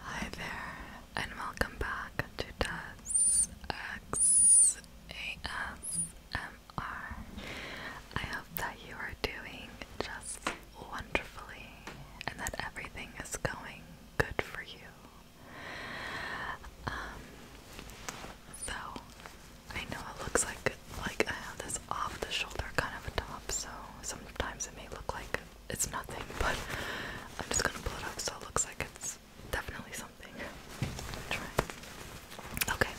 Hi there, and welcome back to Das X A S M R. I hope that you are doing just wonderfully and that everything is going good for you. Um, so I know it looks like like I have this off the shoulder kind of a top, so sometimes it may look like it's nothing, but I'm just gonna pull it up so it looks like it's definitely something. Okay.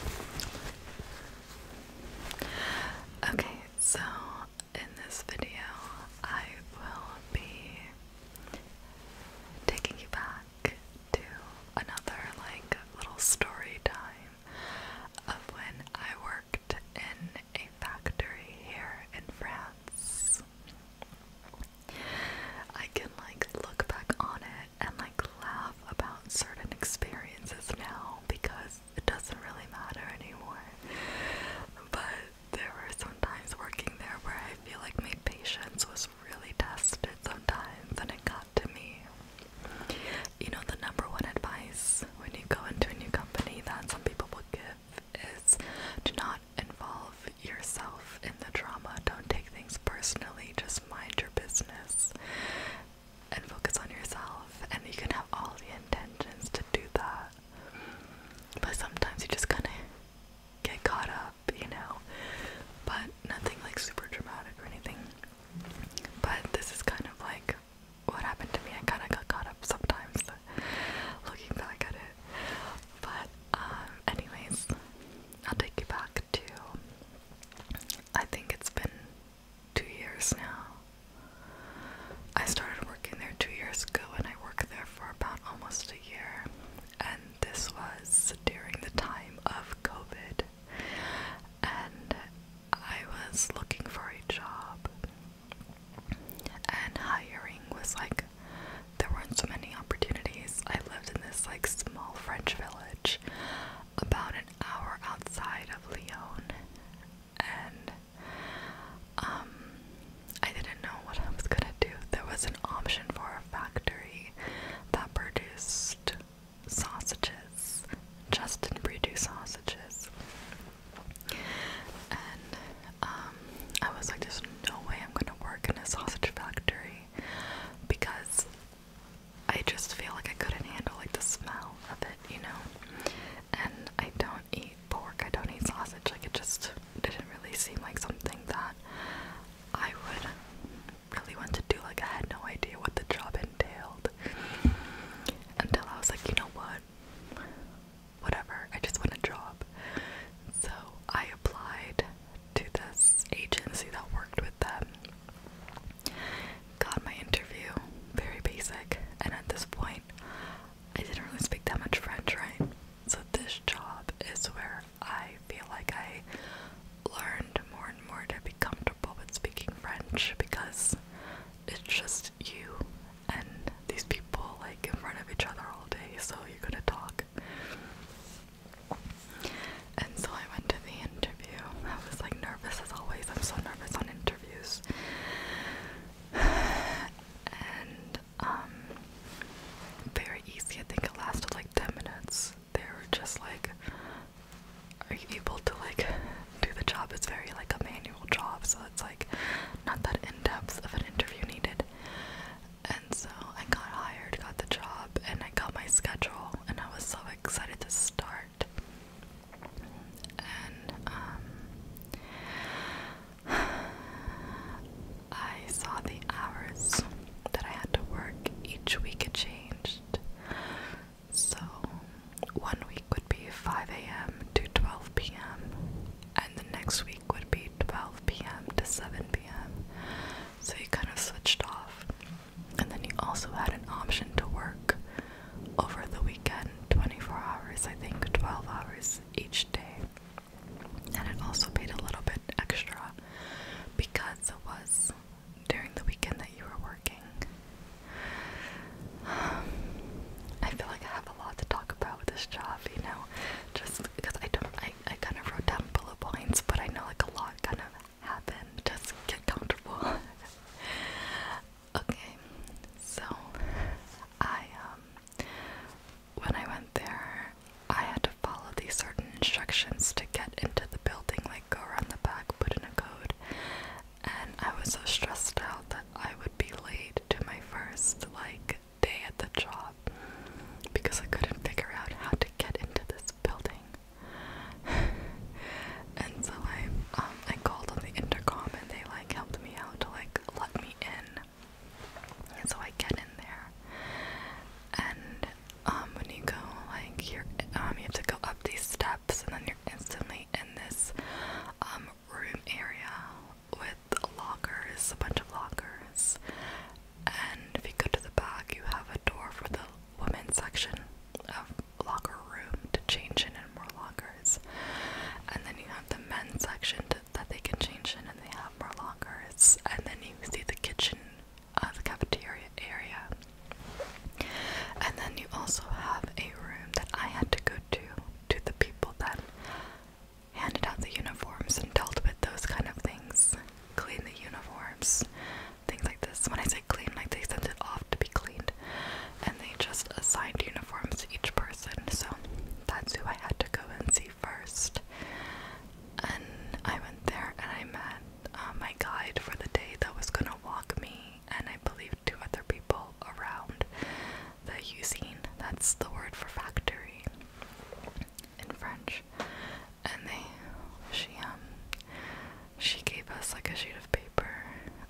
Okay, so in this video, I will be taking you back to another like little story time of when I worked in a factory here in France. I can like look back on it and like laugh about certain experiences now because it doesn't really matter anymore. But there were some times working there where I feel like my patience was really tested sometimes and it got to me. You know, the number one advice when you go into a new company that some people give is do not involve yourself in the drama. Don't take things personally. Just mind your business and focus on yourself. And you can have all the intentions to do that. But sometimes you just kind of get caught up, you know. But nothing like super dramatic or anything. But this is kind of like what happened to me. I kind of got caught up sometimes uh, looking back at it. But, um, anyways, I'll take you back to. I think it's been two years now. I started working there two years ago and I worked there for about almost a year. And this was during the time of COVID. And I was looking for a job, and hiring was like there weren't so many opportunities. I lived in this like small French village about an hour outside of Lyon, and um, I didn't know what I was gonna do. There was an option for a factory that produced sausages, just Justin produce sausages. And um, I was like, there's no way I'm gonna work in a sausage factory because I just feel like I couldn't handle like the smell of it, you know. And I don't eat pork, I don't eat sausage. Like it just didn't really seem like something that I would really want to do. Like I had no idea what the job entailed until I was like, you know what? whatever, I just want a job. So I applied to this agency that worked with them. Got my interview, very basic, and at this point, I didn't really speak that much French, right? So, this job is where I feel like I learned more and more to be comfortable with speaking French because it's just you and these people like in front of each other all day, so you could to talk. And so I went to the interview. I was like nervous as always. I'm so nervous on interviews. And um very easy. I think it lasted like 10 minutes. They were just like, Are you able to like do the job. It's very like a manual job, so it's like not that in depth of an interview needed. And so I got hired, got the job, and I got my schedule, and I was so excited to start. And um, I saw the hours that I had to work each week. It changed, so one week would be 5 a.m. to 12 p.m., and the next week would be 12 p.m. to 7 p.m. So you kind of switched off. And then you also had an option to work over the weekend 24 hours, I think 12 hours each day. And it also paid a little bit extra because it was during the weekend that you were working. I feel like I have a lot to talk about with this job, you know, just because I don't, I, I kind of wrote down bullet points, but I know like a lot kind of happened. Just get comfortable. okay, so I, um, when I went there, I had to follow these certain instructions to get into the building, like go around the back, put in a code, and I was so stressed out that I would be late to my first like day at the job because I couldn't figure out how to get into this building. and so I um, I called on the intercom and they like helped me out to like let me in. And so I get in there. And um when you go like you're um you have to go up these steps and then you're instantly in this um room area with lockers, a bunch of lockers. And if you go to the back, you have a door for the women's section of locker room to change in and more lockers. And then you have the men's section to, that they can change in, and they have more lockers. And then you see the kitchen, uh, the cafeteria area. And then you also have a room that I had to go to to the people that handed out the uniforms and dealt with those kind of things. Clean the uniforms, things like this. When I say clean, like they sent it off to be cleaned, and they just assigned uniforms to each person. So that's who I had to go and see first. And I went there and I met uh, my guide for the day that was gonna walk me, and I believe two other people around the usine. That's the word for factory in French. And they, she um, she gave us like a sheet of paper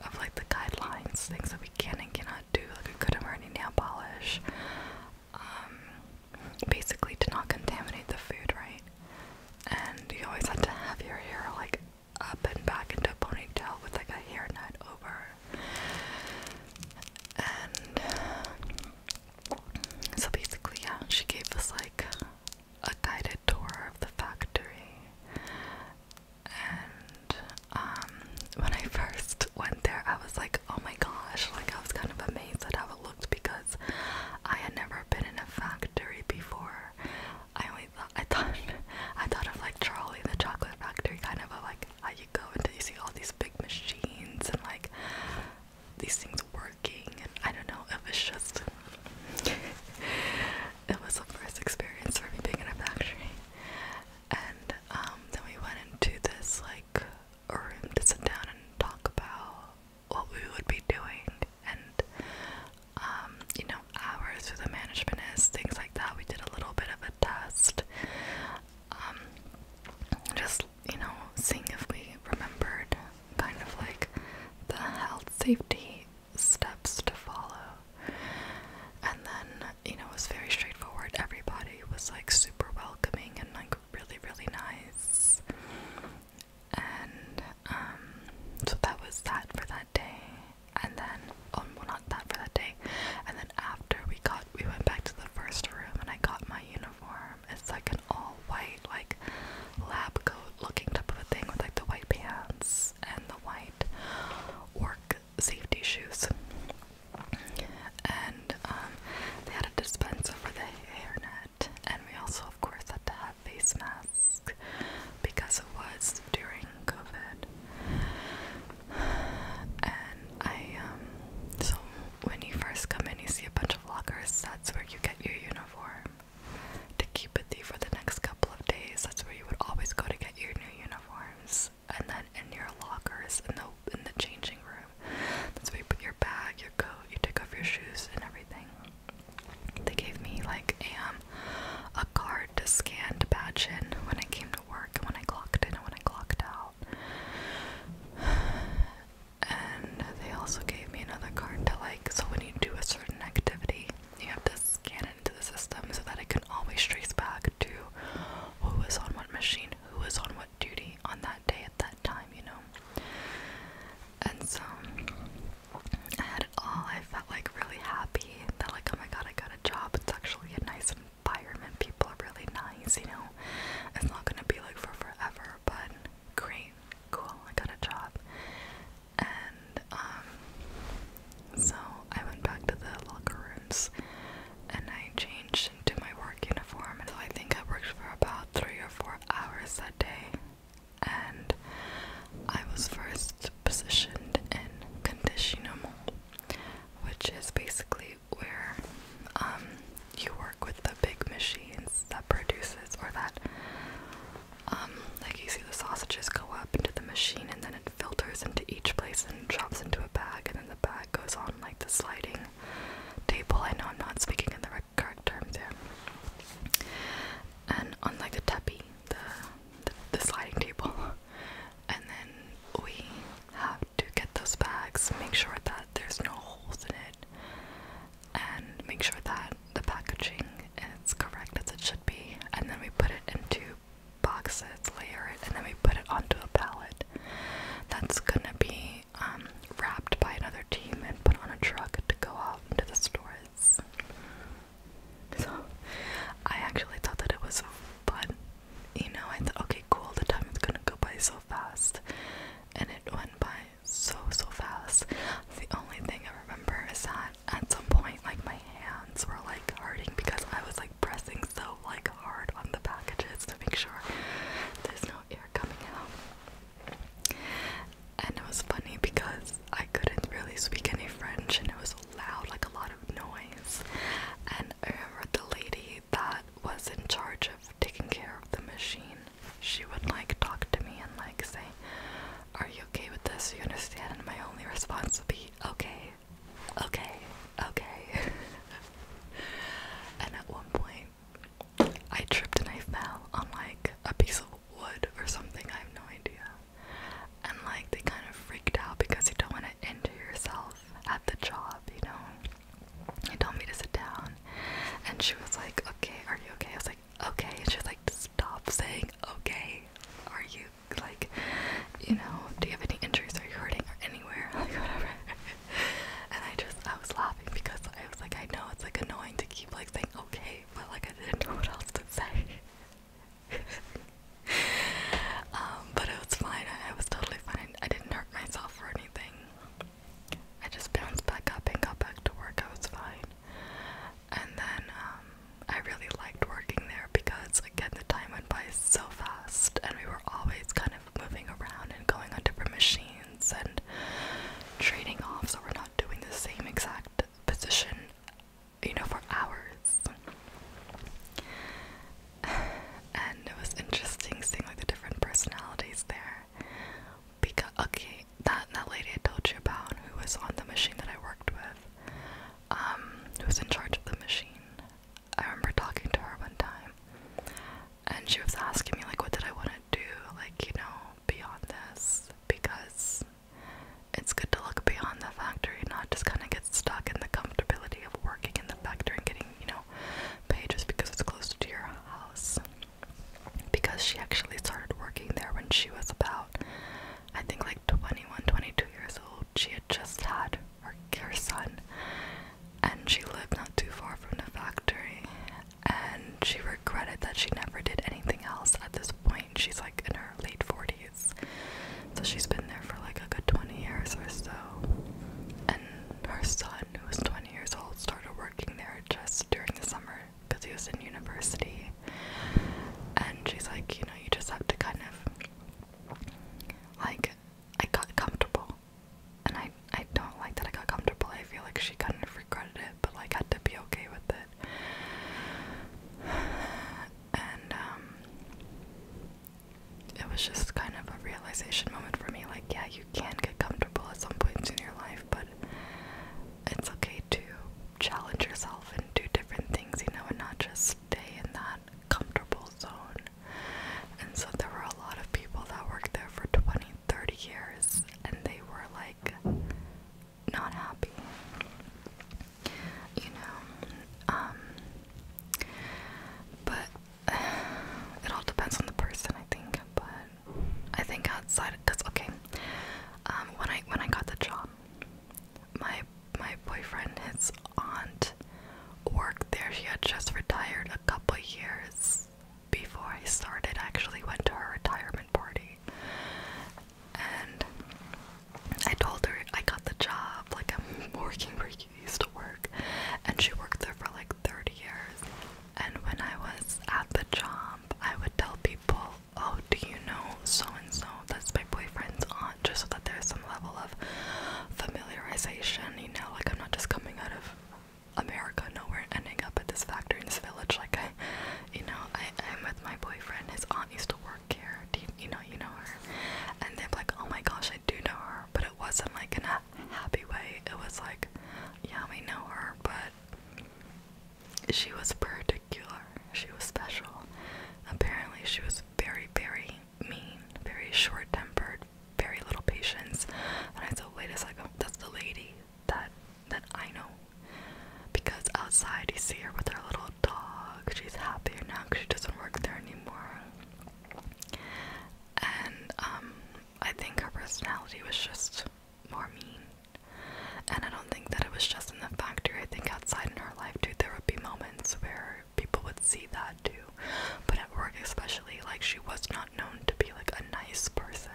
of like the guidelines, things that we can and cannot do. Like we couldn't wear any nail polish. Um, basically to not contaminate the food, right? And you always had to have your hair like up and back into a ponytail with like a hairnet over. And so basically, yeah, she gave us like a guided tour of the factory. And um, when I first went there, I was like, oh my gosh, like I was kind of amazed at how it looked because I had never been in a factory before. I only I thought I thought I thought of like Charlie the Chocolate Factory kind of a, like how you go and you see all these big machines and like these things working and I don't know it was just it was the first experience for me being in a factory and um then we went into this like a room to sit down and talk about what we would be doing and um you know hours who the management things like that. We did a little bit of a test, um, just you know, seeing if we remembered kind of like the health safety steps to follow. And then you know, it was very straightforward. Everybody was like super welcoming and like really, really nice. And um, so that was that for that day, and then oh well not that for that day, and then after we got we went back to the first room and I got my uniform. It's like an all white like lab coat looking type of a thing with like the white pants and the white work safety shoes. And um, they had a dispenser for the hairnet, and we also, of course, had to have face masks because it was during Covid, And I um so when you first come in you see a bunch of lockers, that's where you get your uniform to keep with you for the next couple of days. That's where you would always go to get your new uniforms. And then in your lockers in in the changing room. That's where you put your bag, your coat, you take off your shoes and everything. They gave me like a um, um, a card to scan to badge in when I came to work and when I clocked in and when I clocked out. And they also gave me another card to like, so when you do a certain activity, you have to scan it into the system so that it can always trace back to who was on what machine, who was on what duty on that day at that time, you know? And so I had it all. I felt like really happy that like, oh my god, I got job, it's actually a nice environment. People are really nice, you know. It's not gonna be like for forever, but great, cool, I got a job. And um so I went back to the locker rooms and I changed into my work uniform and I think I worked for about three or four hours that day and I was first positioned in conditioning which is basically where um, you work with the big machines that produces or that um, like you see the sausages go up into the machine and then it filters into each place and drops into a bag and then the bag goes on like the sliding table. I know I'm not speaking in the correct term there. And on like the teppi, the, the sliding table, and then we have to get those bags, make sure that there's no holes in it, and make sure that the packaging is correct as it should be, and then we put it into boxes, layer it, and then we put it onto a pallet that's gonna be um, wrapped by another team and put on a truck to go out into the stores. So I actually thought that it was fun. You know, I thought, okay, cool, the time is gonna go by so fast. And it went by so, so fast. The only thing I remember is that at some point, like, my hands were, like, hurting because I was, like, pressing so, like, hard on the packages to make sure there's no air coming out. And it was funny because I couldn't really speak any French and it was loud, like a lot of noise. And the lady that was in charge of taking care of the machine, she would like talk to me and like say, Are you okay with this? You understand? And my only response would be, Okay, okay, okay. and at one point, I tripped and I fell on like a piece of wood or something, I have no idea and like they kind of freaked out because you don't want to injure yourself at the job, you know. He told me to sit down, and she was like, "Okay, are you okay?" I was like, "Okay," and she was like, "Stop saying okay. Are you like, you know, do you have any injuries? Are you hurting anywhere? Like whatever." and I just I was laughing because I was like, I know it's like annoying to keep like saying okay, but like I didn't know what else to say. Um, but it was fine. I, was totally fine. I didn't hurt myself or anything. I just bounced back up and got back to work. I was fine. And then um, I really liked working there because, again, the time went by so fast, and we were always kind of moving around and going on different machines and trading off, so we're not doing the same exact position you know, for hours. And it was interesting seeing like the different personalities there. Because okay, that that lady I told you about who was on the machine that I worked with, um, who was in charge of the machine. I remember talking to her one time and she was asking me like what did I want to do, like, you know, beyond this because it's good to look beyond the factory, not just kind of get stuck in the comfortability of working in the factory and getting, you know, pay just because it's close to your house. Because she actually started working there when she was about, I think, like 21, 22 years old. She had just had her, her son, and she lived not too far from the factory. And she regretted that she never did anything else at this point she's like in her late 40s, so she's been there for like a good 20 years or so. And her son, who was 20 years old, started working there just during the summer because he was in university. And she's like, you know, you just have to kind of like I got comfortable. And I I don't like that I got comfortable. I feel like she kind of regretted it, but like had to be okay with it and um, it was just kind of a realization moment for me like, yeah, you can get comfortable at some points in your life, but it's okay to challenge yourself and do different things, you know, and not just stay in that comfortable zone. And so there were a lot of people that worked there for 20, 30 years and they were like not happy you know. Um, but it all depends on the person, I think. But I think outside, That's okay, um, when I when I got the job, my my boyfriend, his aunt, worked there. She had just retired a couple years before I started. actually went to her retirement party, and I told her I got the job, like I'm working where you used to work, and she worked there for like 30 years. And when I was at the job, I would tell people, Oh, do you know so and so? That's my boyfriend's aunt, just so that there's some level of familiarization, you know, like I'm not just coming out of America nowhere ending up at this factory in this village like I you know I am with my boyfriend his aunt used to work care. you know you know her? And they're like, oh my gosh, I do know her, but it wasn't like in a happy way. It was like, yeah, we know her, but she was particular. She was special. Apparently, she was very, very mean, very short-tempered, very little patience. And I said, wait a second, that's the lady that that I know because outside you see her with her little dog. She's happier now because she doesn't work there anymore. And um, I think her personality was just more mean. And I don't think that it was just in the factory. I think outside in her life too, there would be moments where people would see that too. But at work, especially, like she was not known to be like a nice person.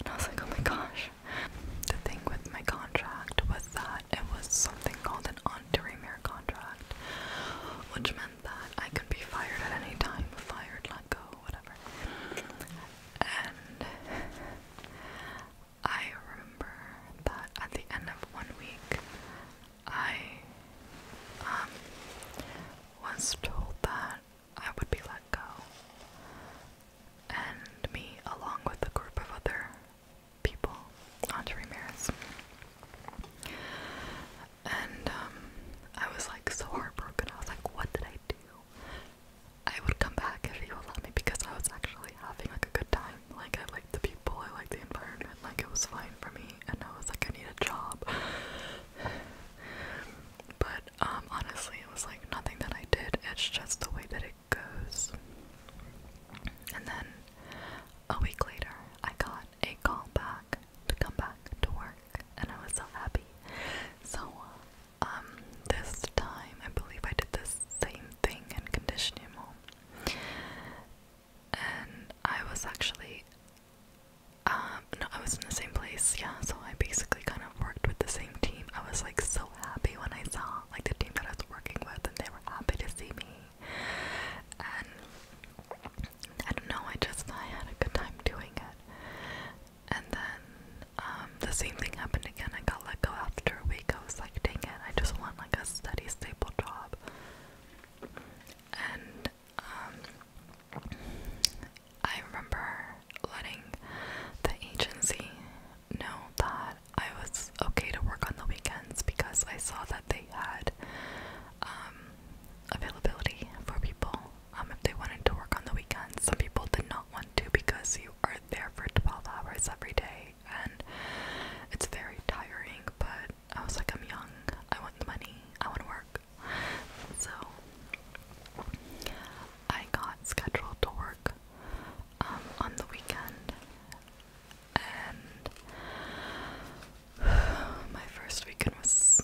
And I was like, oh my gosh. The thing with my contract was that it was something called an on to contract, which meant that I could be fired at any time, fired, let go, whatever. And I remember that at the end of one week, I um, was told that I would be let go, and me, along with a group of other people onto Ramirez. And um, I was like so heartbroken. I was like, what did I do? I would come back if he would let me because I was actually having like a good time. Like I liked the people, I liked the environment, like it was fine for me and I was like I need a job. but um honestly it was like nothing that I did, it's just the way that it goes. And then a week later, I got a call back to come back to work, and I was so happy. So, um, this time I believe I did the same thing in conditioning home, and I was actually, um, no, I was in the same place, yeah. So I basically kind of worked with the same team. I was like so happy when I saw like the team that I was working with, and they were happy to see me. And I don't know, I just I had a good time doing it. And then um, the same thing happened again. I got let go after a week. I was like, dang it, I just want like a steady, stable job. And um, I remember letting the agency know that I was okay to work on the weekends because I saw that they had um, availability for people um, if they wanted to work on the weekends. Some people did not want to because you are there for 12 hours every day and it's very tiring. But I was like, I'm young, I want money, I want to work. So I got scheduled to work um, on the weekend and my first weekend was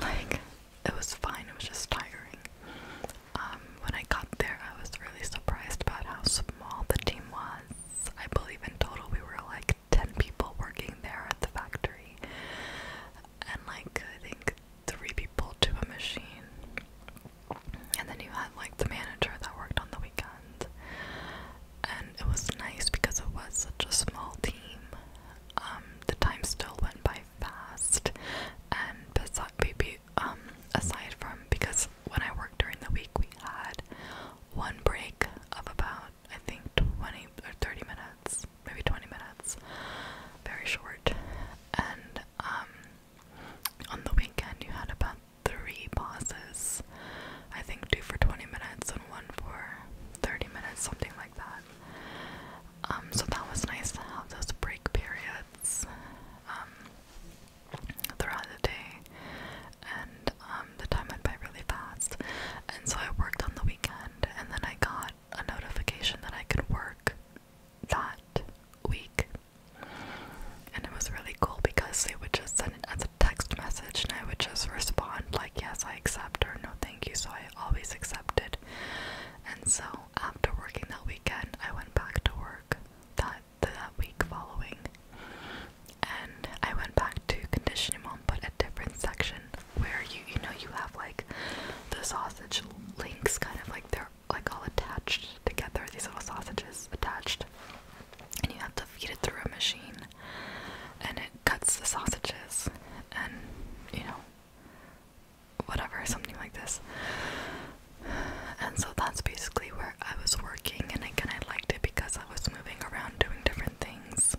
like it was fine, it was just tiring. Um, when I got there, I was really surprised about how small the team was. I believe in total we were like 10 people working there at the factory, and like I think three people to a machine. And then you had like the manager that worked on the weekend. And it was nice because it was such a small team. Um, the time still went by fast. And besides, maybe, um, aside from because when I worked during the week, we had one break of about I think 20 or 30 minutes, maybe 20 minutes, very short. And um, on the weekend, you had about three pauses. I think two for 20 minutes and one for 30 minutes, something like that. Um, so that was nice to have those break periods um, throughout the day. And um, the time went by really fast. And so I worked on the weekend, and then I got a notification that I could work that week and it was really cool because they would just send it as a text message and I would just respond like yes I accept or no thank you so I always accepted. And so after working that weekend I went back to work that that week following and I went back to conditioning mom but a different section where you you know you have like the sausage links kind of like their like all attached together, these little sausages attached, and you have to feed it through a machine, and it cuts the sausages, and you know, whatever, something like this. And so that's basically where I was working, and again, I liked it because I was moving around doing different things.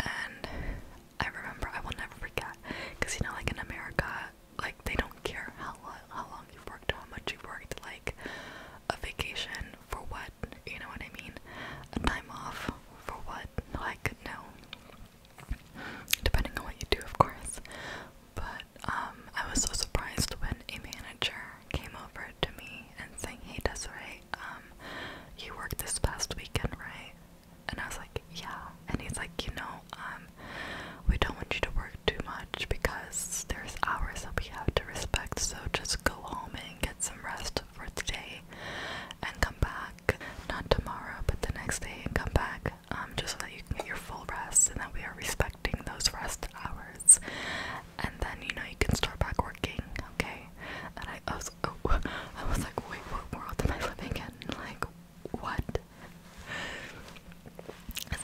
And I remember, I will never forget, because you know, like in America, like they don't care how lo how long you've worked, how much you've worked, like a vacation for what, you know what I mean? A time off for what? Like no. Depending on what you do, of course. But um I was so surprised when a manager came over to me and saying, Hey Desiree, um, you worked this past weekend, right? And I was like, Yeah and he's like, you know, um we don't want you to work too much because there's hours that we have to respect, so just go home and get some rest for today and come back. Not tomorrow, but the next day and come back. Um, just so that you can get your full rest and that we are respecting those rest hours. And then, you know, you can start back working, okay? And I, was, oh, I was like, wait, what world am I living in? Like, what?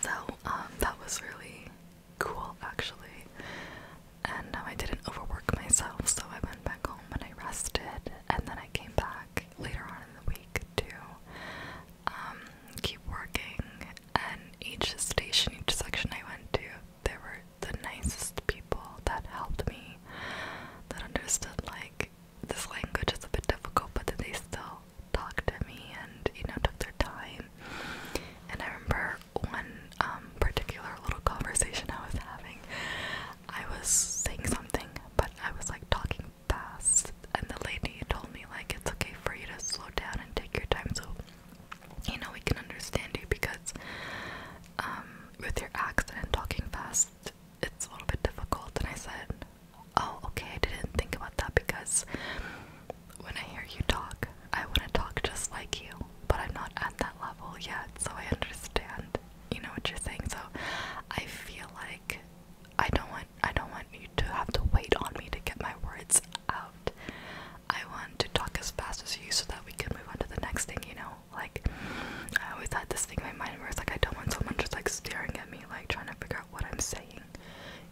So um, that was really cool actually. And I didn't overwork myself, so I went back home and I rested, and then I came back later on in the week to um, keep working. And each station, each section I went to, there were the nicest people that helped me, that understood like this language is a bit difficult, but they still talked to me and, you know, took their time. And I remember one um, particular little conversation I was having, I was saying something, but I was like talking fast, and the lady told me, like, it's okay for you to slow down and take your time so, you know, we can understand you because um, with your accent and talking fast, it's a little bit difficult. And I said, oh, okay, I didn't think about that because when I hear you talk, I want to talk just like you, but I'm not at that level yet, so I understand, you know what you're saying. So I feel like I don't want I don't want you to have to wait on me to get my words out. I want to talk as fast as you so that we can move on to the next thing, you know? Like I always had this thing in my mind where it's like I don't want someone just like staring at me like trying to figure out what I'm saying,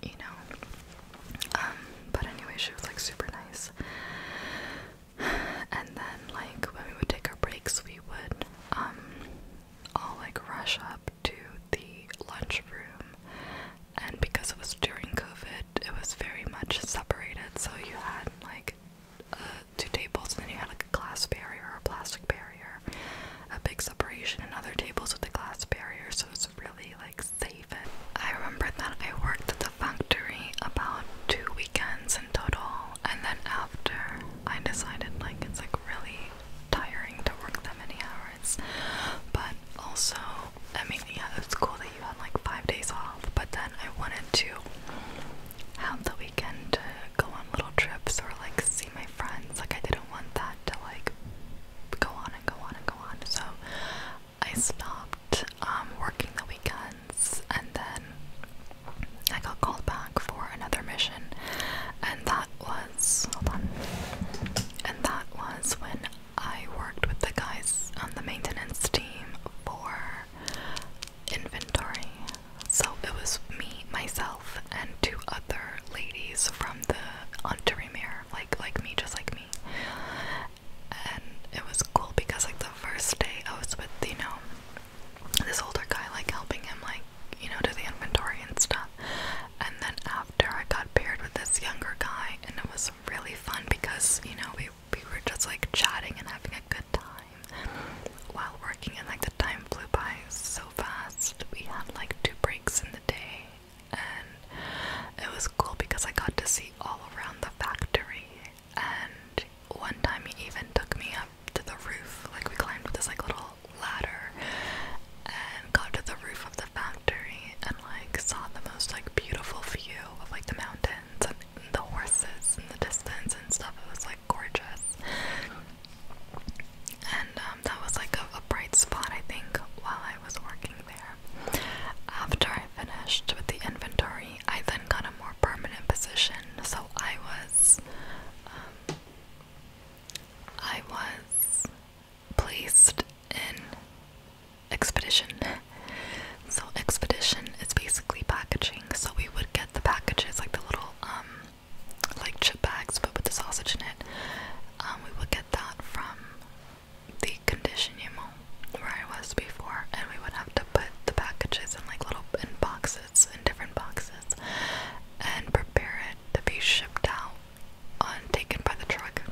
you know. Um, but anyway, she was like super nice. And then, like, when we would take our breaks, we would um, all like rush up to the lunchroom. And because it was during COVID, it was very much separated. So you had like uh, two tables, and then you had like a glass barrier or a plastic barrier, a big separation, and other tables with a glass barrier. So so it's really like safe. And I remember that I worked at the factory about two weekends in total, and then after I decided like it's like really tiring to work that many hours, but also I mean yeah it's cool that you had like five days off, but then I wanted to have the weekend to go on little trips or like see my friends. Like I didn't want that to like go on and go on and go on. So I stopped um, working the weekends and then I got called back for another mission and that was hold on and that was when I worked with the guys on the maintenance team for inventory. So it was me, myself, and two other ladies from the Ontario there, like like me, just like me. And it was cool because like the first day I was with you know this older guy, like helping him like you know do the inventory and stuff. And then after I got paired with this younger guy, and it was really fun because you know we we were just like chatting and having a good time while working, and like the time flew by so fast. We had like two breaks in the day, and it was cool because I got to see all around the factory. And one time he even took me up to the roof, like we climbed with this like little ladder and got to the roof of the factory and like saw the most like beautiful view of like the mountains and the horses in the distance and stuff. It was like gorgeous and um, that was like a, bright spot I think while I was working there. After I finished with the inventory, I then got a more permanent position. So I was, um, I was placed in expedition. So expedition is basically packaging. So we would get the packages like the little um like chip bags but with the sausage in it um, we would get that from the condition you're in, where I was before, and we would have to put the packages in like little in boxes, in different boxes, and prepare it to be shipped out on uh, taken by the truck.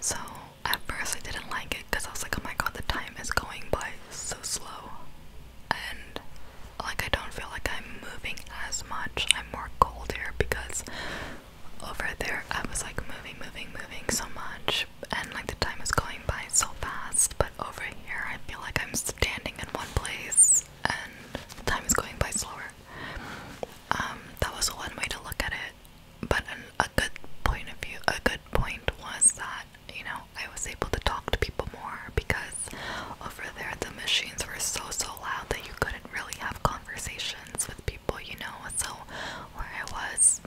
So at first I didn't like it because I was like, oh my god, the time is going by so slow, and like I don't feel like I'm moving as much i more cold here because over there I was like moving, moving, moving so much, and like the time was going by so fast. But over here, I feel like I'm standing in one place and time is going by slower. Um, that was one way to look at it, but a good point of view, a good point was that you know I was able to talk to people more because over there the machines were so so loud that you couldn't didn't really have conversations with people, you know. So, where I was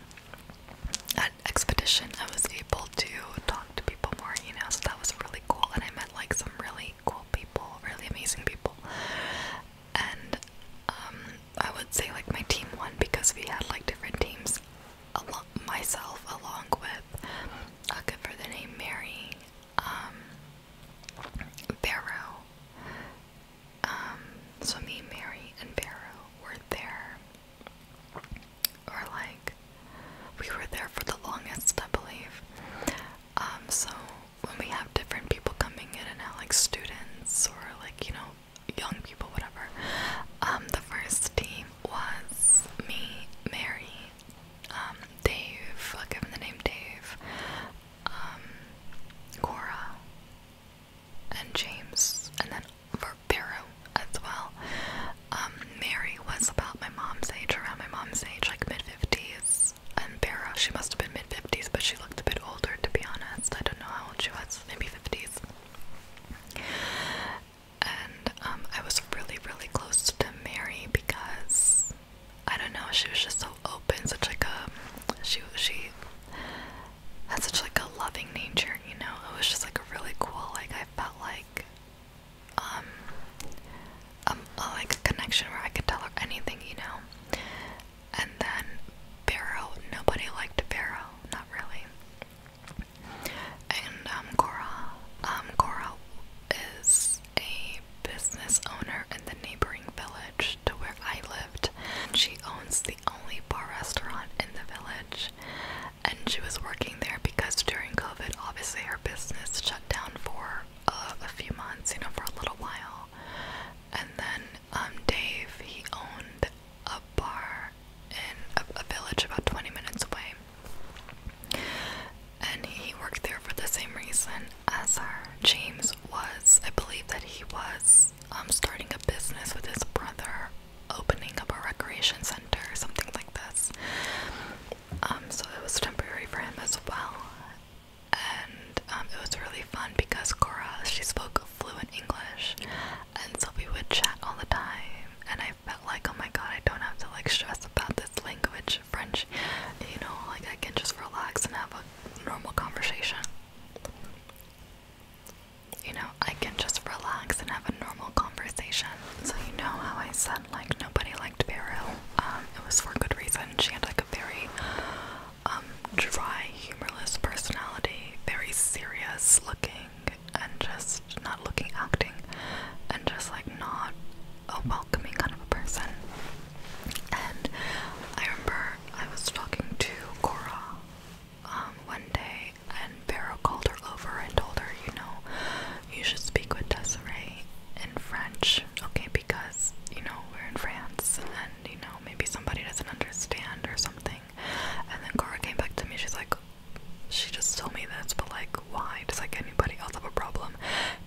at Expedition, I was able to talk to people more, you know. So, that was really cool. And I met like some really cool people, really amazing people. And um, I would say like my team won because we had like different teams. Al myself, along with, I'll give her the name Mary, um, Barrow. Um, so me, Mary, and Barrow were there. Or like, we were there for the longest, I believe. Um, so when we have different people coming in and out, like students or like, you know, young people, whatever. Um, the first team was me, Mary, um, Dave, I'll him the name Dave, um, Cora and James, and then Vero as well. Um, Mary was about my mom's age, around my mom's age, like mid 50s. And Vero, she must have been mid 50s, but she looked a bit older to be honest. I don't know how old she was, maybe 50s. And um, I was really, really close to Mary because I don't know, she was just so open, such like a she she had such like a loving nature, you know. It was just like a really cool like I felt like um um like a connection where I could tell her anything, you know. And then Barrow, nobody liked Barrow, not really. And Cora, um Cora um, is a business owner in the neighboring village to where I lived. She owns the only bar restaurant in the village, and she was working there because during COVID, obviously, her business shut down for uh, a few months, you know, for a little while. And then um, Dave, he owned a bar in a village about 20 minutes away and he worked there for the same reason as her. James was, I believe that he was um, starting a business with his brother, opening up a recreation center, something like this. Um, so it was temporary for him as well. And um, it was really fun because Cora, she spoke fluent English, and so we would chat all the time. And I felt like, oh my god, I don't have to like stress about this language, French, you know, like I can just relax and have a normal conversation. You know, I can just relax and have a normal conversation. So you know how I said like nobody liked Beryl. Um, it was for good reason. She had like a very um, dry, humorless personality, very serious looking and just not looking acting and just like not a welcoming kind of a person. And I remember I was talking to Cora um, one day, and Vero called her over and told her, you know, you should speak with Desiree in French, okay, because, you know, we're in France, and, you know, maybe somebody doesn't understand or something. And then Cora came back to me, she's like, she just told me this, but like, why? Does like anybody else have a problem?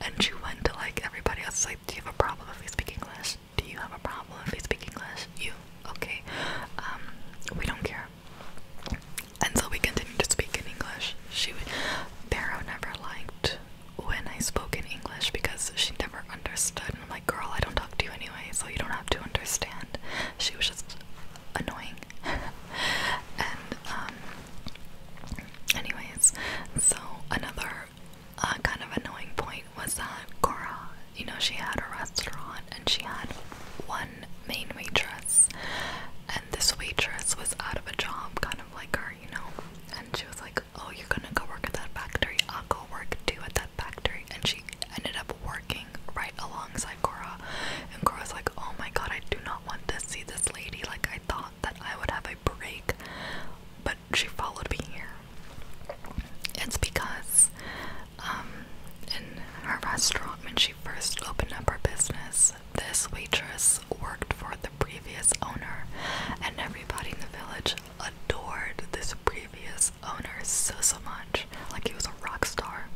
And she went to like everybody else, like, do you have a problem if we speak English? Do you have a problem if we speak English? You, okay. Um, we don't care. And so we continued to speak in English. She, Barrow never liked when I spoke in English because she never understood. And I'm like, girl, I don't talk to you anyway, so you don't have to understand. She was just annoying. and um, anyways, so another uh, kind of annoying point was that Cora, you know, she had a restaurant and she had one main waitress, and this waitress was out of a job, kind of like her, you know. And she was like, "Oh, you're gonna go work at that factory? I'll go work too at that factory." And she ended up working right alongside Cora, and Cora's like, "Oh my god, I do not want to see this lady like I thought." that I would have a break, but she followed me here. It's because um, in her restaurant, when she first opened up her business, this waitress worked for the previous owner, and everybody in the village adored this previous owner so so much. Like he was a rock star.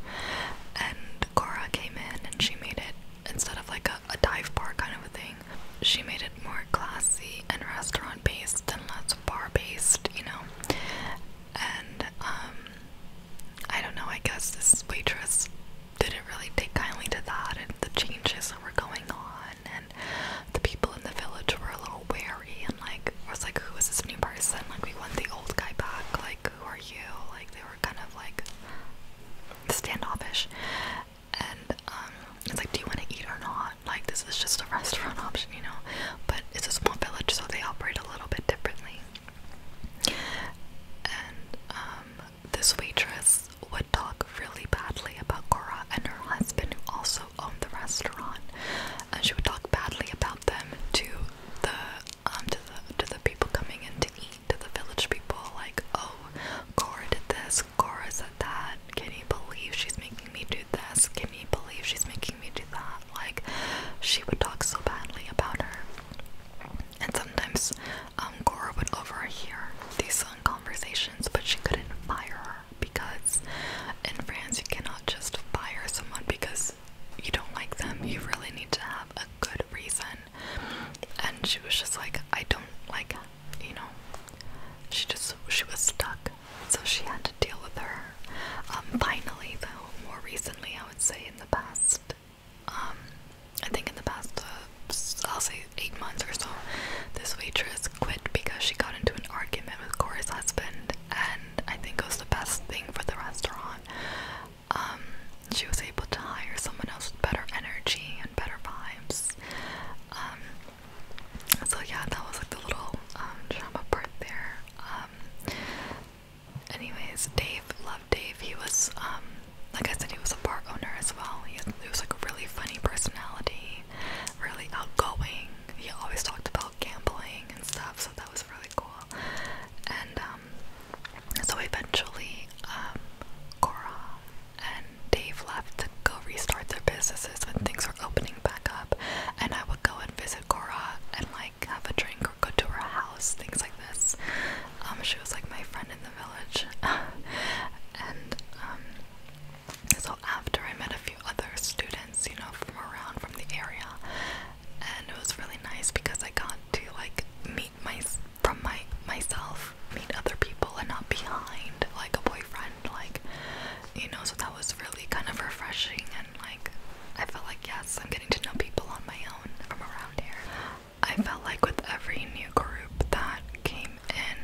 And Cora came in and she made it instead of like a a dive bar kind of a thing. She made it more classy and restaurant based and less bar based, you know. And um I don't know, I guess this waitress didn't really take kindly to that and the changes that were going on and the people in the village were a little wary and like was like who is this new person? Like we want the old guy back, like who are you? Like they were kind of like standoffish and um it's like do you want to eat or not like this is just a restaurant option you know but it's a small village so they operate a little bit differently and um this waitress would talk really badly about Cora and her husband who also owned the restaurant and she would talk badly about them to the um to the to the people coming in to eat to the village people, like, oh, Cora did this, Cora said that, can you believe she's making me do this, can you believe she's making me do that? Like, she would talk so badly about her. And sometimes um, Cora would overhear these conversations, but she couldn't fire her because in France you cannot just fire someone because you don't like them. You really need to have a good reason. And she was just like, I don't like you know, she just she was stuck, so she had to deal with her. Um, finally, though, more recently, I would say in the past, um, I think in the past, uh, I'll say eight months or so, this waitress quit because she got into an argument with Corey's husband, and I think it was the best thing for the restaurant. Um, she was able to hire someone else with better energy and better vibes um, so yeah, that was like the little um, drama part there. Um, anyways, Dave, loved Dave. He was, um, like I said, he was a bar owner as well. He, was like a really funny personality, really outgoing. He always talked about gambling and stuff, so that was really cool. And so eventually, Cora, and Dave left to go restart their businesses when things were opening back up. And I would go and visit Cora and like have a drink or go to her house, things like this. Um, she was like my friend in the village. and um, so after I met a few other students, you know, from around from the area, and it was really nice because I got to like meet my from my myself, meet other people and not behind like a boyfriend, like you know, so that was really kind of refreshing and like I felt like yes, I'm getting to know people on my own from around here. I felt like with every new group that came in,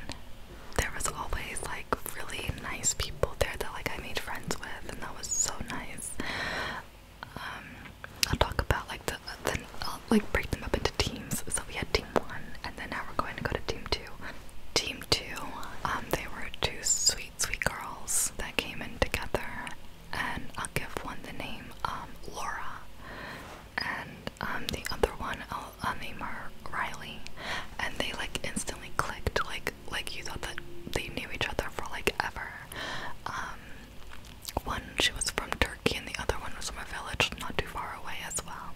there was always like really nice people there that like I made friends with and that was so nice. Um, I'll talk about like the then I'll uh, like break them up into teams. So we had team one, and then now we're going to go to team two. Team two, um, they were two sweet, sweet girls that came in together, and I'll give one the name um, Laura, and um, the other one I'll, uh, name her Riley, and they like instantly clicked, like like you thought that they knew each other for like ever. Um, one, she was from and the other one was from a village not too far away as well.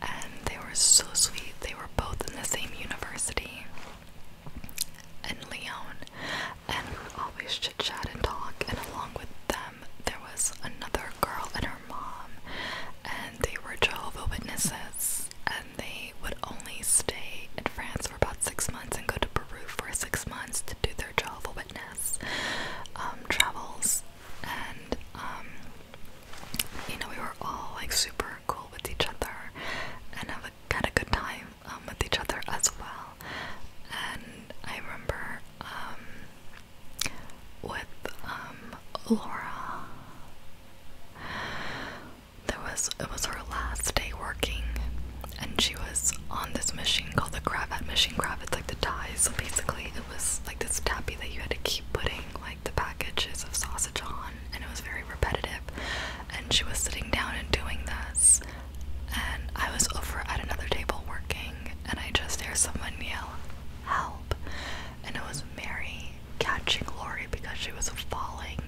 And they were so sweet. They were both in the same university in Lyon, and we always chit chat and talk. And along with them, there was another girl and her mom, and they were Jehovah Witnesses, and they would only stay in France for about six months and go to Peru for six months to do their Jehovah Witness um, travels and um, you know, we were all like super cool with each other and have a, had a good time um, with each other as well. And I remember um, with Laura, there was it was her last day working, and she was on this machine called the Gravat machine. Gravat's like the So basically it was like this tappy that you had to keep putting like the packages of sausage on, and it was very repetitive. And she was sitting down and doing this, and I was over at another table working, and I just hear someone yell, "Help!" And it was Mary catching Lori because she was falling.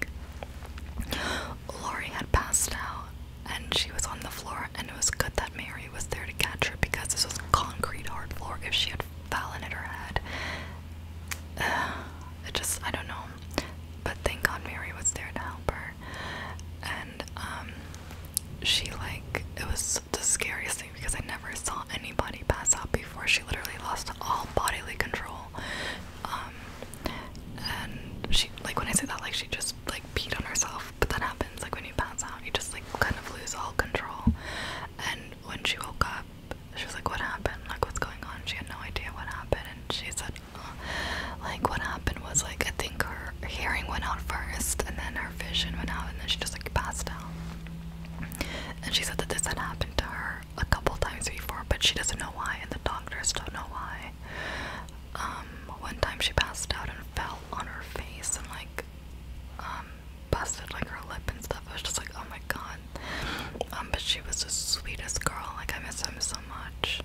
Lori had passed out, and she was on the floor and it was good that Mary was there to catch her because this was concrete hard floor. If she had fallen at her head, uh, it just I don't know. But thank God Mary was there to help her, and um, she like it was the scariest thing because I never saw anybody pass out before. She literally lost all bodily control, um, and she like when I say that like she just like peed on herself but that happens like when you pass out, you just like kind of lose all control. And when she woke up, she was like, What happened? Like, what's going on? She had no idea what happened, and she said, uh, Like, what happened was like, I think her hearing went out first, and then her vision went out, and then she just like passed out. And she said that this had happened to her a couple times before, but she doesn't know why, and the doctors don't know why. Um, one time she passed out and fell on her face and like um, busted like her lip and stuff. I was just like, oh my god. Um, but she was the sweetest girl. Like I miss him so much.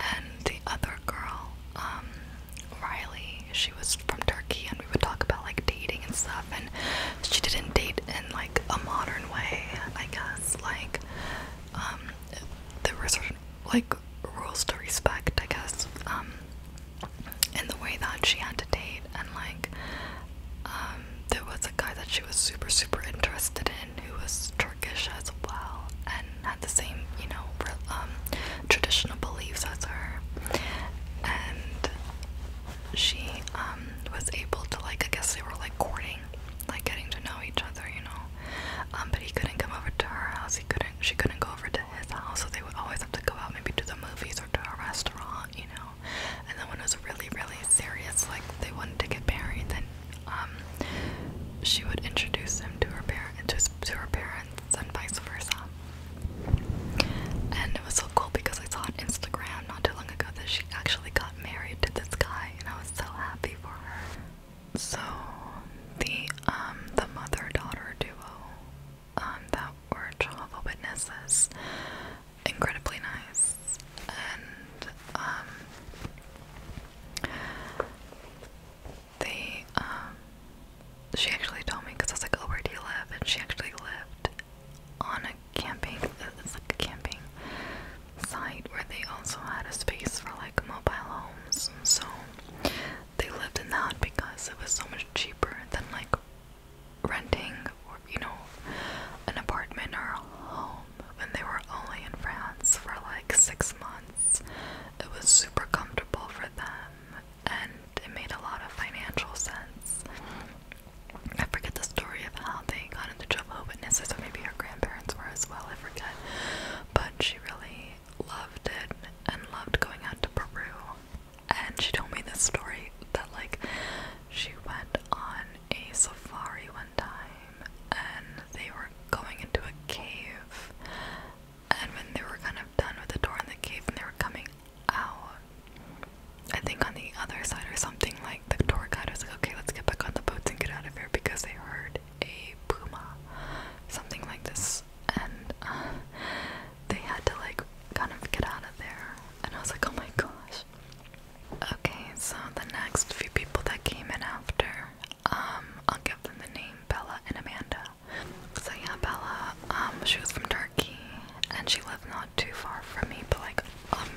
And the other girl, um, Riley, she was from Turkey, and we would talk about like dating and stuff. And she didn't date in like a modern way, I guess. Like, there were certain like rules to respect, I guess in the way that she had to date and like um, there was a guy that she was super super interested in who was Turkish as well and had the same you know um, traditional beliefs as her and she um, was able to like I guess they were like courting like getting to know each other you know but he couldn't come over to her house he couldn't she couldn't go over to to his house, so they would always have to go out maybe to the movies or to a restaurant, you know. And then when it was really, really serious, like they wanted to get married, then um, she would introduce him to her parents, to, to her parents, and vice versa. And it was so cool because I saw on Instagram not too long ago that she actually got married to this guy, and I was so happy for her. So the um the mother-daughter duo um, that were Jehovah Witnesses. Incredibly nice. And um, they, um, she actually told me because I was like, oh, where do you live? And she actually lived on a camping, uh, it's like a camping site where they also had a space for like mobile homes. So they lived in that because it was so much cheaper than like renting or you know an apartment or a home when they were only in France for like six months. It was super comfortable for them and it made a lot of financial sense. I forget the story of how they got into Jehovah Witnesses, or maybe her grandparents were as well, I forget. But she really loved it and loved going out to Peru and she told me this story that like she went on a safari one time and they were going into a cave and when they were kind of done with the door in the cave and they were coming out I think on the other side or something like the tour guide was like okay let's get back on the boats and get out of here because they heard a puma something like this and uh, they had to like kind of get out of there. And I was like, oh my gosh. Okay, so the next few people that came in after, um, I'll give them the name Bella and Amanda. So yeah, Bella, um, she was from Turkey and she lived not too far from me, but like um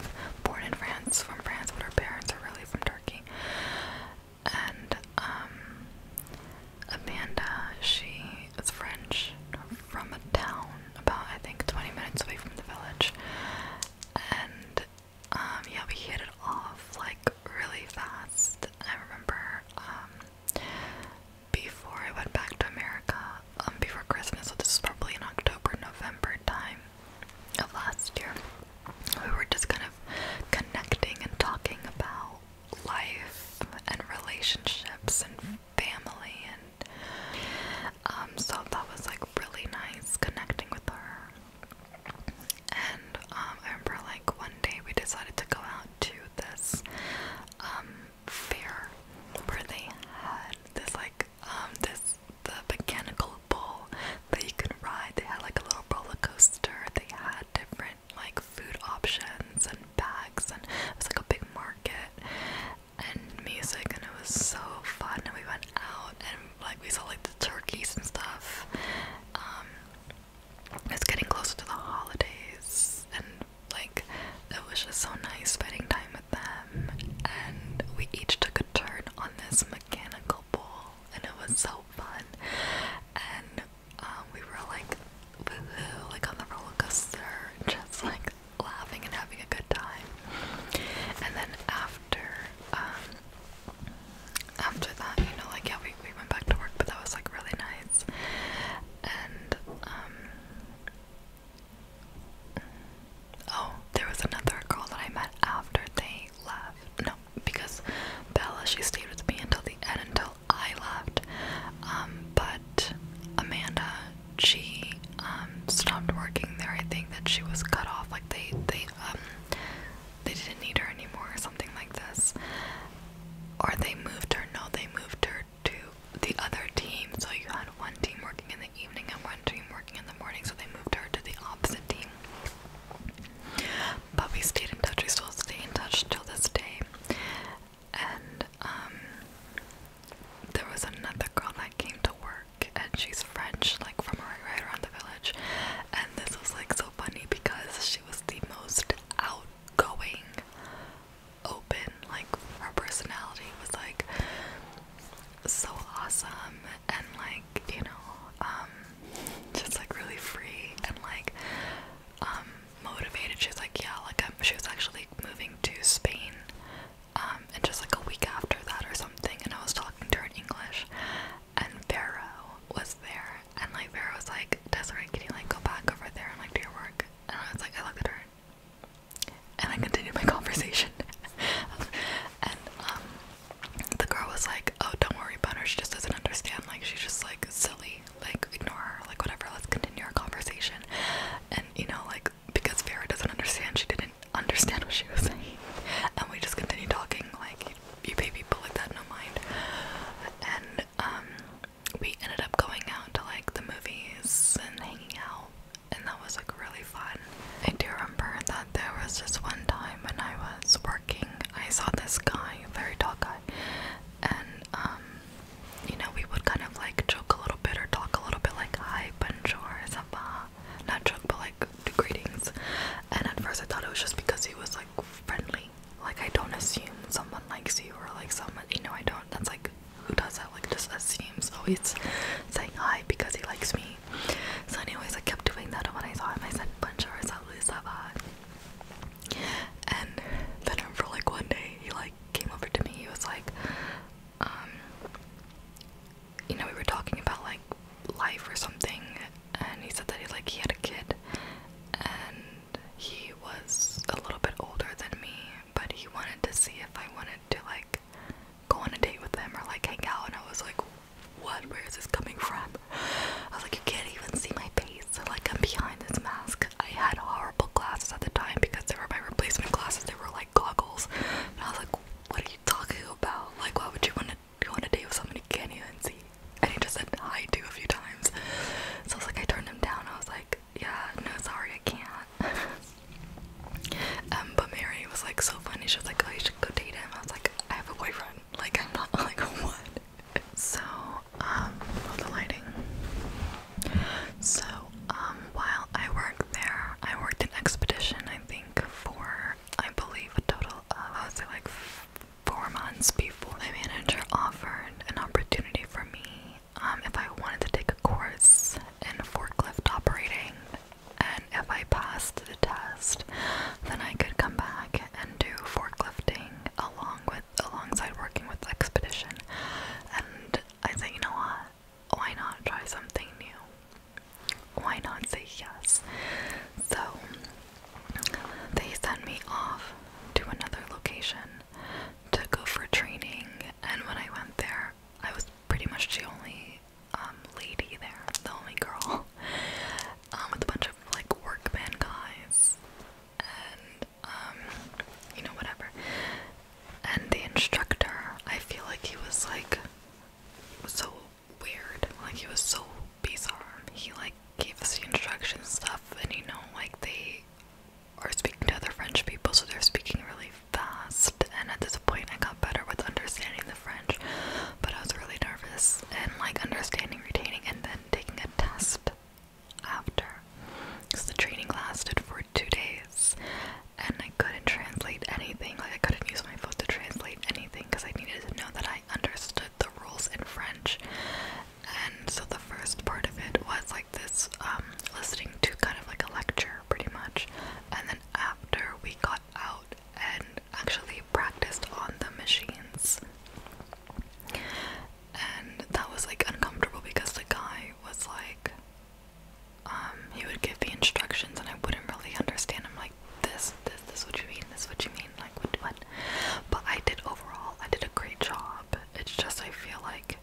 born in France, from France, but her parents are really from Turkey. And um, Amanda, she is French from a town about I think 20 minutes away from the village, and um, yeah, we hit it off like really fast. I remember um, before I went back to America, um, before Christmas, so this is probably in October, November time of last year, we were just kind of connecting and talking about life and relationships and family and um so that was like really nice connecting with her and um I remember like one day we decided to go out to this um fair where they had this like um this the mechanical bull that you could ride. They had like a little roller coaster. They had different like food options and bags and it was like a big market and music and it was so fun and we went out and like we saw like the turkeys and stuff. Um, it's getting closer to the holidays and like it was just so nice spending time with them and we each took a turn on this mechanical bull and it was so fun and um, we were like like on the roller coaster, just like laughing and having a good time. And then after, um, after that, you know, like yeah, we we went back to work, but that was like really nice. And um, oh, there was another girl that I met after they left. No, because Bella, she stayed with me until the end, until I left. Um, but Amanda, she um, stopped working there. I think that she was cut off. Like they, they, um, they didn't need her anymore, or something like this. Or they moved her. No, they moved her to the other team. So you had one team working in the evening and one team working in the morning. So they moved her to the opposite team. But we stayed in touch. We still stay in touch till this day and um, there was another girl that came to work and she's French, like from right, right around the village. And this was like so funny because she was the most outgoing, open, like her personality was like so awesome and like, you know, um, just like really free and like um, motivated. She was like, yeah, like I'm, she was actually moving to Spain, um, and just like a week after that or something. And I was talking to her in English, and Vero was there, and like Vero was like, Desiree, can you like go back over there and like do your work? And I was like, I looked at her, and I continued my conversation, and um. The girl was like, "Oh, don't worry about her. She just doesn't understand. Like, she's just like silly." like ignore her, like whatever, let's continue our conversation. And you know, like because Vera doesn't understand, she didn't understand what she was saying. And we just continued talking, like you, baby pay people like that no mind. And um we ended up going out to like the movies and hanging out and that was like really fun. I do remember that there was just one time when I was working, I saw this guy, a very tall guy, and um, you know, we would kind of like joke a little bit or talk a little bit like hi, bonjour, sapa, not joke, but like greetings. And at first, I thought it was just because he was like friendly. Like I don't assume someone likes you or like someone, you know, I don't. That's like who does that? Like just assumes always saying hi because he likes me. So, anyways, I kept doing that, and when I saw him, I said bonjour, salut, and then for like one day, he like came over to me. He was like, um, you know, we were talking about like life or something, and he said that he like he had a kid, and he was a little bit older than me, but he wanted to see if I wanted to like go on a date with him or like hang out. And I was like, what? Where is this coming from? I was like, you can't even see my face. like I'm behind this mask. I had horrible glasses at the time because they were my replacement glasses. They were like goggles, and I was like, "What are you talking about? Like, why would you want to go on a date with someone who can't even see?" And he just said hi to a few times. So I was like, I turned him down. I was like, "Yeah, no, sorry, I can't." um, but Mary was like so funny. She was like, "Oh, you should go date him." I was like, "I have a boyfriend. Like, I'm not like what." So um, the lighting. So, um, while I worked there, I worked in Expedition, I think, for, I believe, a total of, I would say, like four months before my manager offered an opportunity for me um, if I wanted to take a course in forklift operating. And if I passed the test, then I could come back and do forklifting along with alongside working with Expedition. And I said, you know what? Why not try something new? Why not say yes? So they sent me off to another location to go for training, and when I went there, I was pretty much the only um, lady there, the only girl, um, with a bunch of like workman guys, and um, you know, whatever. And the instructor, I feel like he was like was so weird, like he was so bizarre. He like gave us the instructions stuff, and you know, like they are speaking to other French people, so they're speaking really fast. And at this point, I got better with understanding the French, but I was really nervous and like understanding, retaining, and then taking a test after because the training lasted for two days and I couldn't translate anything. Like, I couldn't use my foot to translate anything because I needed to know that I understood the rules in French. And so the first part of it was like this um, listening to kind of like a lecture, pretty much. And then after we got out and actually practiced on the machines and that was like uncomfortable because the guy was like um he would give me instructions and I wouldn't really understand I'm like this this this what you mean this what you mean like what what but I did overall I did a great job it's just I feel like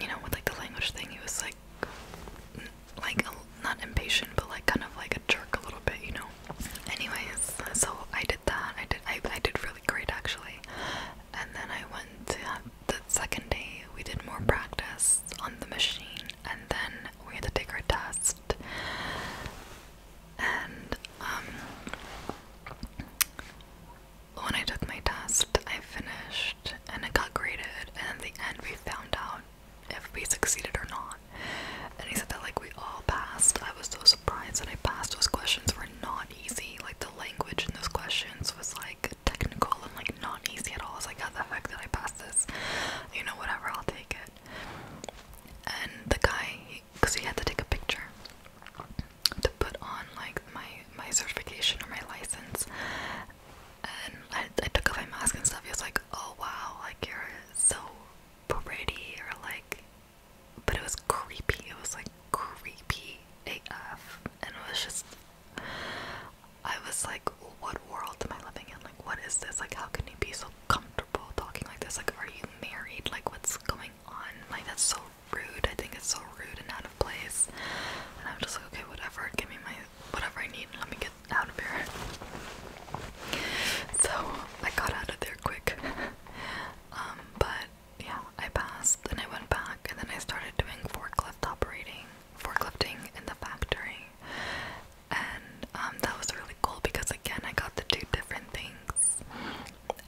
you know with like the language thing he was like like a, not impatient but like kind of like a jerk a little bit you know Anyways, so I did that. I did. I, I did really great actually. And then I went the second day. We did more practice on the machine, and then we had to take our test. And um, when I took my test, I finished, and it got graded. And at the end, we found out if we succeeded or not. And he said that like we all passed. I was so surprised that I passed those questions were not easy. Like the language in those questions was like technical and like not easy at all. I was like, how the heck did I pass this? You know, whatever, I'll take it. And the guy, because he, he had to take a picture to put on like my my certification or my license, and I, I took off my mask and stuff. He was like, oh wow, like you're so pretty, or like but it was creepy. It was like creepy AF, and it was just. I was like, what world am I living in? Like, what is this? Like, how can you be so comfortable talking like this? Like, are you married? Like, what's going on? Like, that's so rude. I think it's so rude and out of place. And I'm just like, okay, whatever. Give me my whatever I need. and Let me get out of here. So I got out of there quick. um, but but yeah, I passed and I went back and then I started doing forklift operating, forklifting in the factory. And um, that was really cool because again, I got to do different things.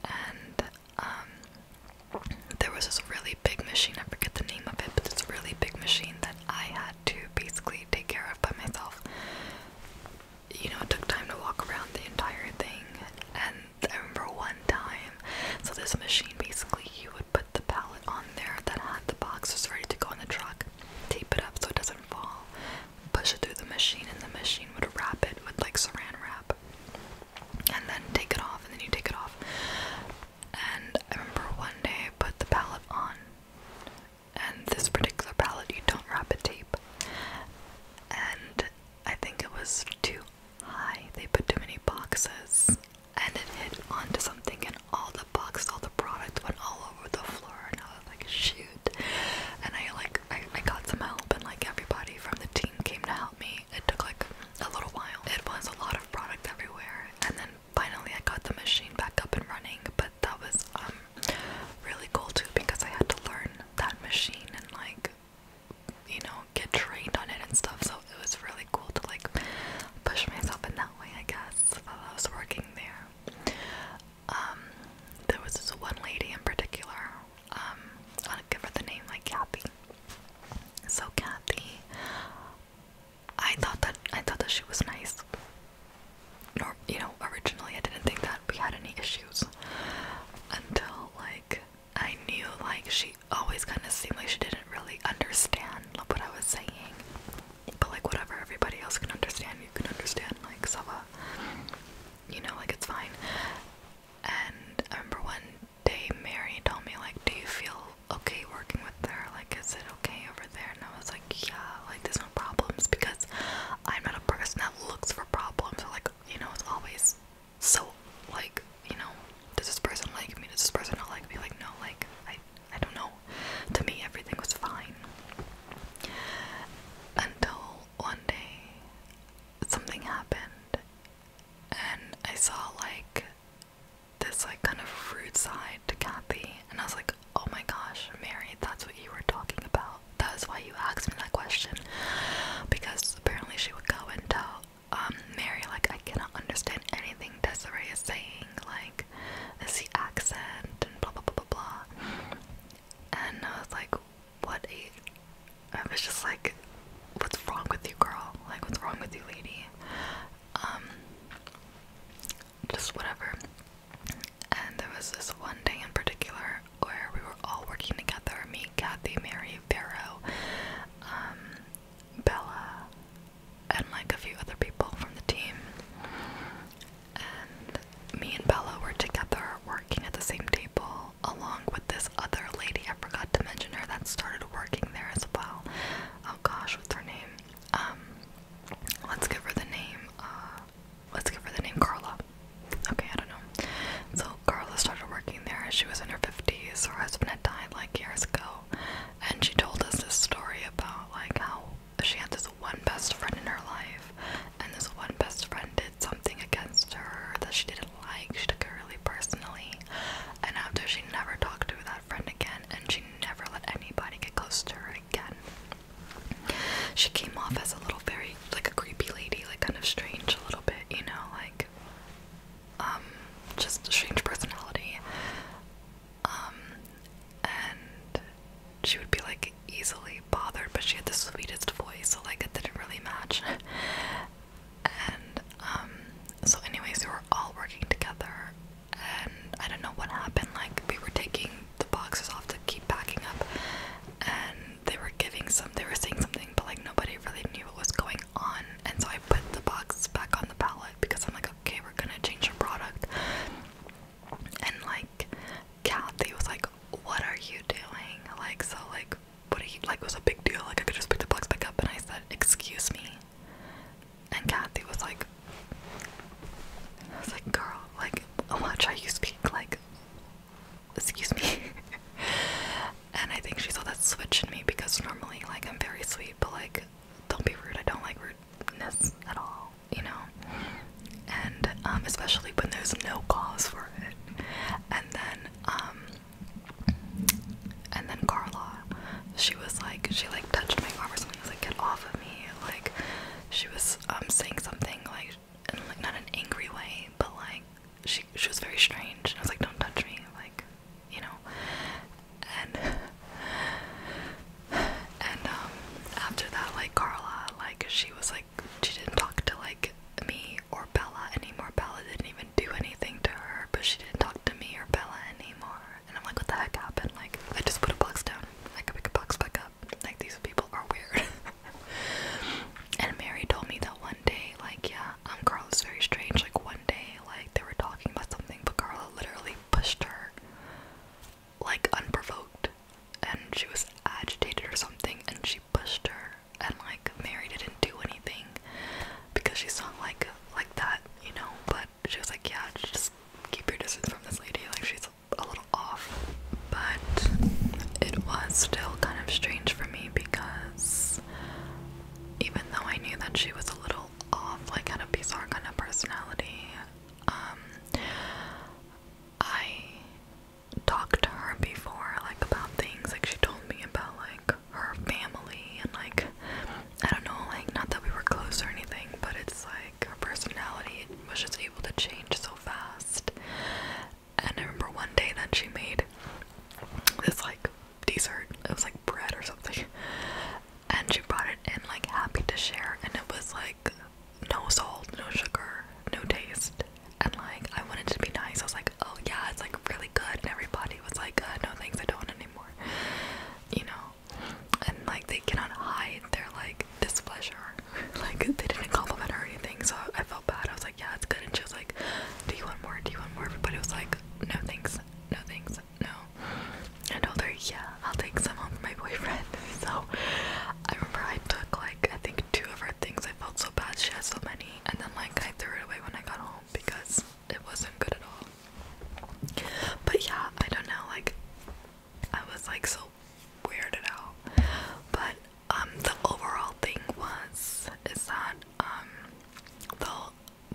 And um, there was this really big machine, I forget the name of it, but this really big machine that I had to basically take care of by myself you know, it took time to walk around the entire thing. And I remember one time, so this machine basically, you would put the pallet on there that had the is ready to go in the truck, tape it up so it doesn't fall, push it through the machine, and the machine would wrap it with like saran wrap, and then take it off, and then you take it off. And I remember one day I put the pallet on, and this particular pallet you don't wrap it tape, and I think it was too high. They put too many boxes and it hit onto something and all the boxes, all the product went all over the floor and I was like, shoot. And I like I, got some help and like everybody from the team came to help me. It took like a little while. It was a lot of product everywhere and then finally I got the machine back up and running, but that was um, really cool too because I had to learn that machine and like you know get trained on it and stuff so it was really cool to like push myself in that way I guess while I was working there um, there was this one lady in particular um, I'll give her the name like Kathy so Kathy I thought that I thought that she was nice you know originally I didn't think that we had any issues until like I knew like she always kind of seemed like she didn't really understand what I was saying. But like whatever, everybody else can understand, you can understand like Sava. You know, like it's fine. And I remember one day Mary told me like, do you feel okay working with her? Like I said, okay over there? And I was like, yeah, like there's no problems because I'm not a person that looks for problems or like you know, it's always so like, you know, does this person like me? Does this person not like me? Like, no, like, I, I don't know. To me, everything was fine until one day something happened, and I saw like this like kind of rude side to Kathy, and I was like, oh my gosh, Mary, that's what you were talking about that's why you asked me that question because apparently she would go and tell um, Mary like I cannot understand anything Desiree is saying like is the accent and blah blah blah blah blah and I was like what is I was just like what's wrong with you girl like what's wrong with you lady um just whatever and there was this one day in particular where we were all working together me, Kathy, Mary, Vero, um, Bella, and like a few other people from the team. And me and Bella were together working at the same table along with this other lady, I forgot to mention her, that started working there as well. Oh gosh, what's her name? Um, let's give her the name. Uh, let's give her the name Carla. Okay, I don't know. So Carla started working there she was in her 50s. Her husband had died like years ago. And she told us this story about like how she had this one best friend in her life. And this one best friend did something against her that she didn't like. She took it really personally. And after she never talked to that friend again. And she never let anybody get close to her again. She came off as a little very like a creepy lady, like kind of strange a little bit, you know, like um just a strange personality. Um and she would be like easily bothered, but she had the sweetest voice, so like it didn't really match. and um so anyways we were all working together and I don't know what happened, like we were taking the boxes off to keep packing up and they were giving some they were saying something but like nobody really knew what was going on and so I put the box back on the pallet because I'm like okay we're gonna change your product and like Kathy was like what are you doing like so like what are you like was a big deal like I could just pick the box back up and I said excuse me and Kathy was like I was like girl like watch how you speak like excuse me. and I think she saw that switch in me because normally, like, I'm very sweet, but like, don't be rude. I don't like rudeness at all, you know. And um, especially when there's no cause for it. And then, um, and then Carla, she was like, she like touched my arm or something. I was like, get off of me. Like, she was um saying something like like not an angry way, but like she she was very strange. And I was like, don't touch me, like you know. And and um after that, like Carla, like she was like she didn't talk to like me or Bella anymore. Bella didn't even do anything to her, but she didn't talk to me or Bella anymore. And I'm like, what the heck happened? Like I just put a box down. I could pick a box back up. Like these people are weird. and Mary told me that one day, like, yeah, um, Carla's very strange. Like, one day, like, they were talking about something, but Carla literally pushed her, like, unprovoked, and she was agitated or something, and she pushed her, and like, Mary didn't do anything because she saw like like that, you know. But she was like, yeah, just keep your distance from this lady. Like, she's a little off, but it was still kind of strange for me because even though I knew that she was a little off, like had a bizarre kind of personality, um, I talked to her before, like about things, like she told me about like her family and like I don't know, like not that we were close or anything, but it's like her personality was just able to change so fast, and I remember one day that she made this like dessert. It was like bread or something. And she brought it in like happy to share and it was like no salt, no sugar, no taste. And like I wanted to be nice. I was like, oh yeah, it's like really good. And everybody was like, uh, no thanks, I don't anymore. You know? And like they cannot hide their like displeasure like they didn't compliment her or anything, so I felt bad. I was like, yeah, it's good, and she was like, do you want more? Do you want more? Everybody was like, no thanks, no thanks, no. I told her, yeah, I'll take some home for my boyfriend. So I remember I took like I think two of her things. I felt so bad she had so many, and then like I threw it away when I got home because it wasn't good at all. But yeah, I don't know, like I was like so weirded out. But um, the overall thing was is that um, the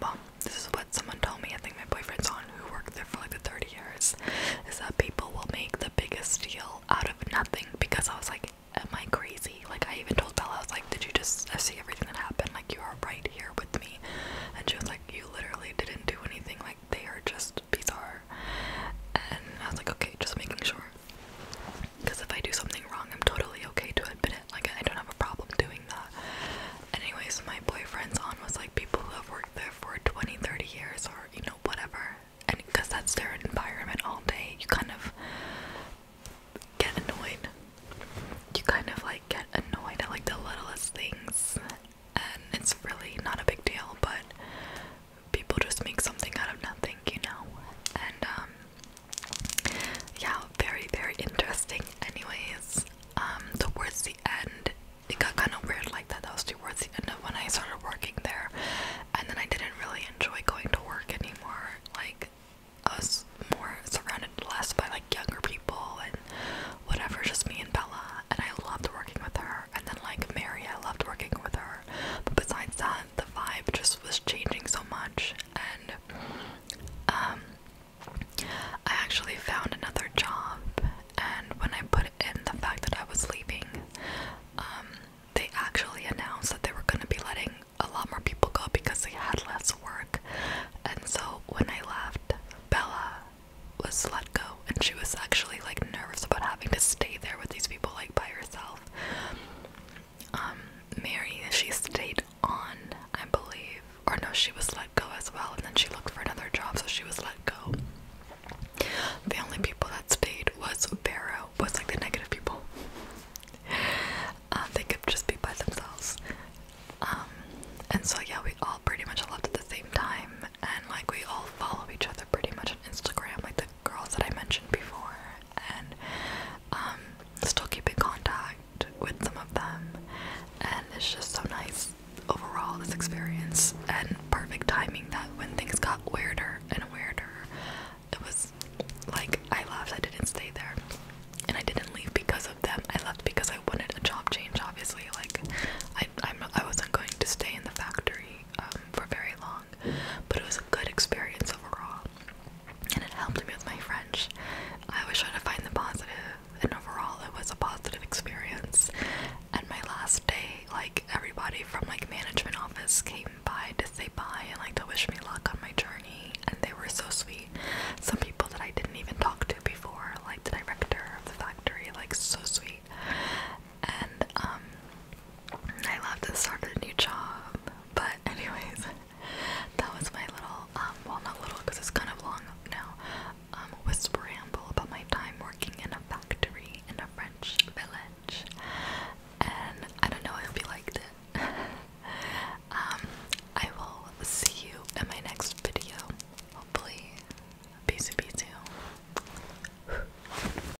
well, this is what someone told me. I think my boyfriend's on who worked there for like the 30 years. Is that people will make the biggest deal out of nothing? Because I was like, am I crazy? Like I even told Bella, I was like, did you just see everything that happened? Like you are right here with me, and she was like, you literally didn't do anything. Like they are just bizarre. And I was like, okay, just making sure. Because if I do something wrong, I'm totally okay to admit it. Like, I don't have a problem doing that. Anyways, my boyfriend's on was like people who have worked there for 20, 30 years or, you know, whatever. And because that's their environment all day, you kind of get annoyed. You kind of like get annoyed at like the littlest things. And it's really not a big deal, but people just make something out of nothing, you know? And, um, yeah, very, very interesting. Anyways, um, towards the end, it got kind of weird like that. That was towards the end of when I started working there, and then I didn't really enjoy going to work anymore. Like, I was more surrounded less by like younger people and whatever, just me and Bella. And I loved working with her. And then, like, Mary, I loved working with her. But besides that, the vibe just was changing so much and um, I actually found another job and when I put in the fact that I was leaving um, they actually announced that they were going to be letting a lot more people go because they had less work and so when I left Bella was let go and she was actually like nervous about having to stay there with these people like by herself herself. Um, Mary, she stayed on, I believe, or no, she was let go as well, and then she looked for another job, so she was let go. The only people that stayed was Barrow, was like the negative people. Uh, they could just be by themselves. Um, and so yeah, we all pretty much left at the same time, and like we all follow each other pretty much on Instagram. Like the girls that I mentioned before, and um, still keep in contact with some of them. And it's just so nice overall this experience and perfect timing that when things got weirder and weirder, it was like I left. I didn't stay there, and I didn't leave because of them. I left because I wanted a job change. Obviously, like I I'm, I wasn't going to stay in the factory um, for very long but it was a good experience overall, and it helped me with my French. I was trying to find the positive, and overall, it was a positive experience. And my last day, like everybody from like management office came by to say bye and like to wish me luck on my journey, and they were so sweet. Some people that I didn't even talk to before, like the director of the factory, like so sweet. And um I love to start a new job. But anyways, that was my little, um, well not little because it's kind of long now, um, whisper ramble about my time working in a factory in a French village. And I don't know, I hope you liked it. Um, I will see you in my next video. Hopefully, peace be too.